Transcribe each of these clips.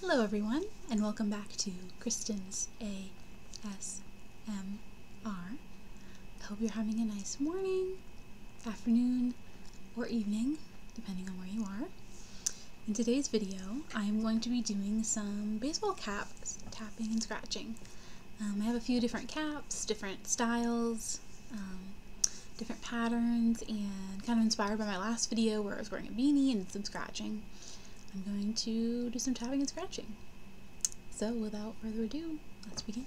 Hello, everyone, and welcome back to Kristen's A S M R. I hope you're having a nice morning, afternoon, or evening, depending on where you are. In today's video, I'm going to be doing some baseball caps, tapping and scratching. Um, I have a few different caps, different styles, um, different patterns and kind of inspired by my last video where I was wearing a beanie and some scratching. I'm going to do some tapping and scratching. So without further ado, let's begin.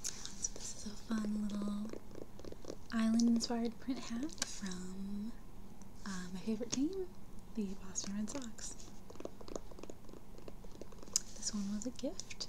So this is a fun little island-inspired print hat from uh, my favorite team, the Boston Red Sox. This one was a gift.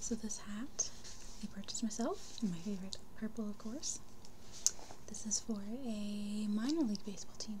So this hat I purchased myself, my favorite purple of course. This is for a minor league baseball team.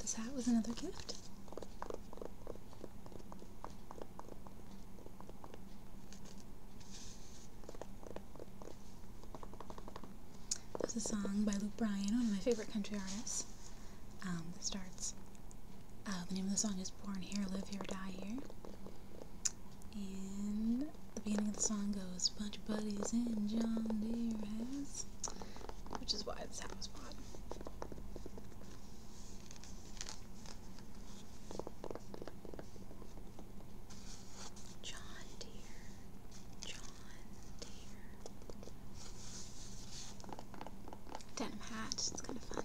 This hat was another gift. There's a song by Luke Bryan, one of my favorite country artists, um, that starts. Uh, the name of the song is Born Here, Live Here, Die Here. And the beginning of the song goes, Bunch of Buddies in John Deere has, which is why it's house spot. John Deere, John Deere. Denim hat, it's kind of fun.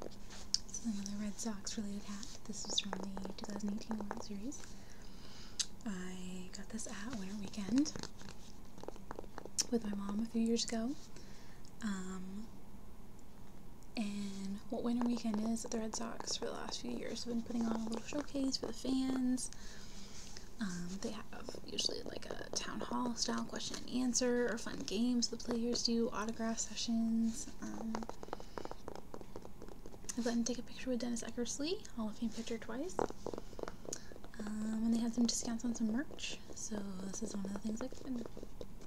This is another Red Sox related hat. This is from the 2018 World Series. I got this at Winter Weekend with my mom a few years ago. Um, and what winter weekend is at the Red Sox for the last few years, have been putting on a little showcase for the fans. Um, they have usually like a town hall style question and answer or fun games the players do, autograph sessions. Um, I've let him take a picture with Dennis Eckersley, Hall of Fame pitcher twice. Um, and they have some discounts on some merch, so this is one of the things I can.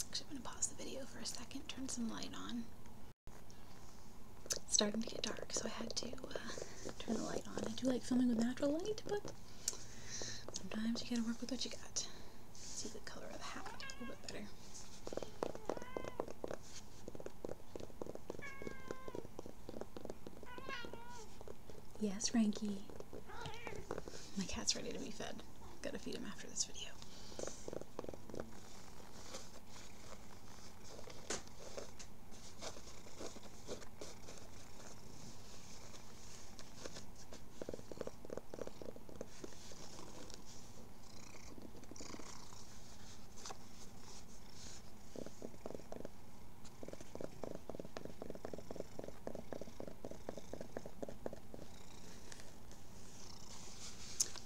Actually, I'm going to pause the video for a second, turn some light on. It's starting to get dark, so I had to uh, turn the light on. I do like filming with natural light, but sometimes you gotta work with what you got. see the color of the hat a little bit better. Yes, Frankie. My cat's ready to be fed. Gotta feed him after this video.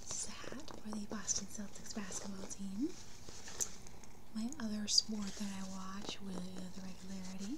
Sad for the Boston Celtics basketball team. My other sport that I watch with regularity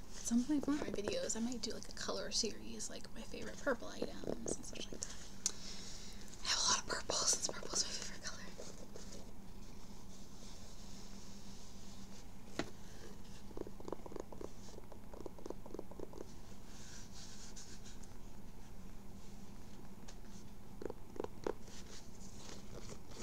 At some point of my videos, I might do like a color series, like my favorite purple items and such like that. I have a lot of purple since purple my favorite color.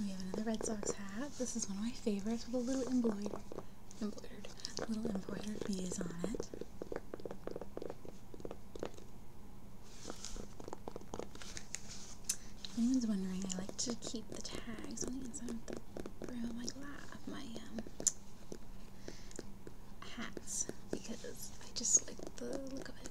We have another Red Sox hat. This is one of my favorites with a little embroidered, embroidered, little embroidered bees on it. If anyone's wondering, I like to keep the tags on the inside of the brim my lap, um, my hats, because I just like the look of it.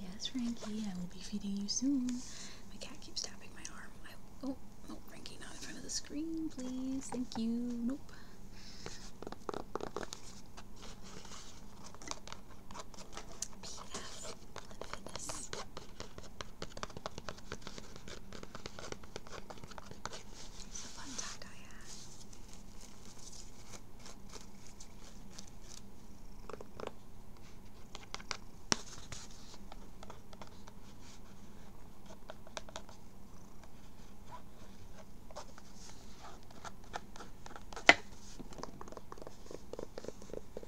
Yes, Frankie, I will be feeding you soon. My cat keeps tapping my arm. oh, no, Frankie, not in front of the screen, please. Thank you. Nope and fitness. It's a fun talk I had.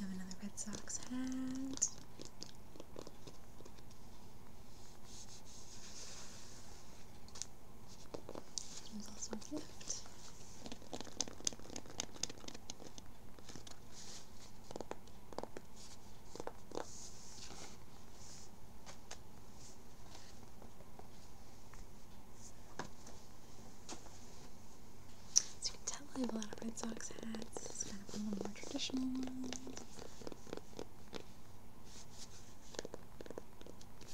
have another Red Sox hat. There's you can tell I have a lot of Red Sox hats. kind of a more traditional ones.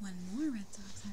One more Red Sox hat.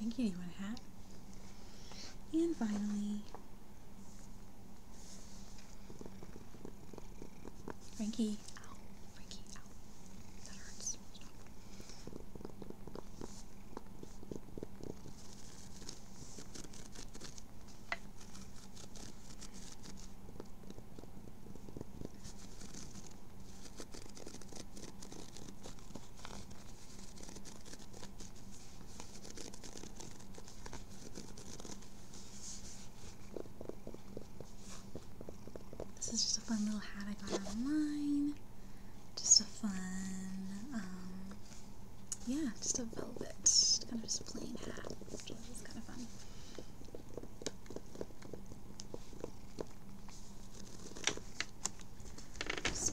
Thank you. You want a hat? And finally, Frankie. Ow, Frankie, ow. That hurts. This is just a fun little hat I got online. Just a fun, um, yeah, just a velvet, kind of just plain hat so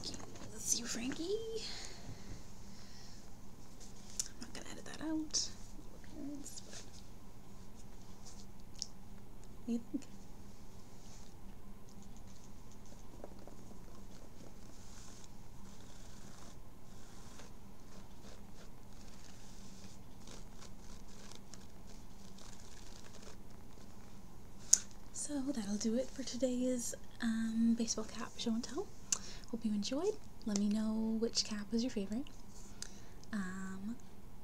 you, Frankie. I'm not gonna edit that out. What do you think? So that'll do it for today's um, baseball cap show and tell. Hope you enjoyed. Let me know which cap was your favorite. Um,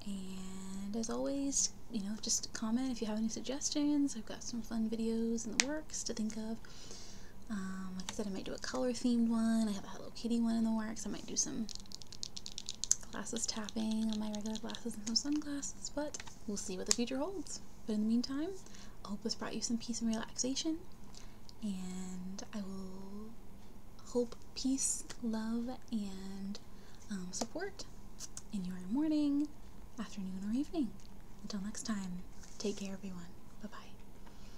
and as always, you know, just comment if you have any suggestions. I've got some fun videos in the works to think of. Um, like I said, I might do a color themed one. I have a Hello Kitty one in the works. I might do some glasses tapping on my regular glasses and some sunglasses, but we'll see what the future holds. But in the meantime, I hope this brought you some peace and relaxation, and I will hope peace, love, and um, support in your morning, afternoon, or evening. Until next time, take care, everyone. Bye bye.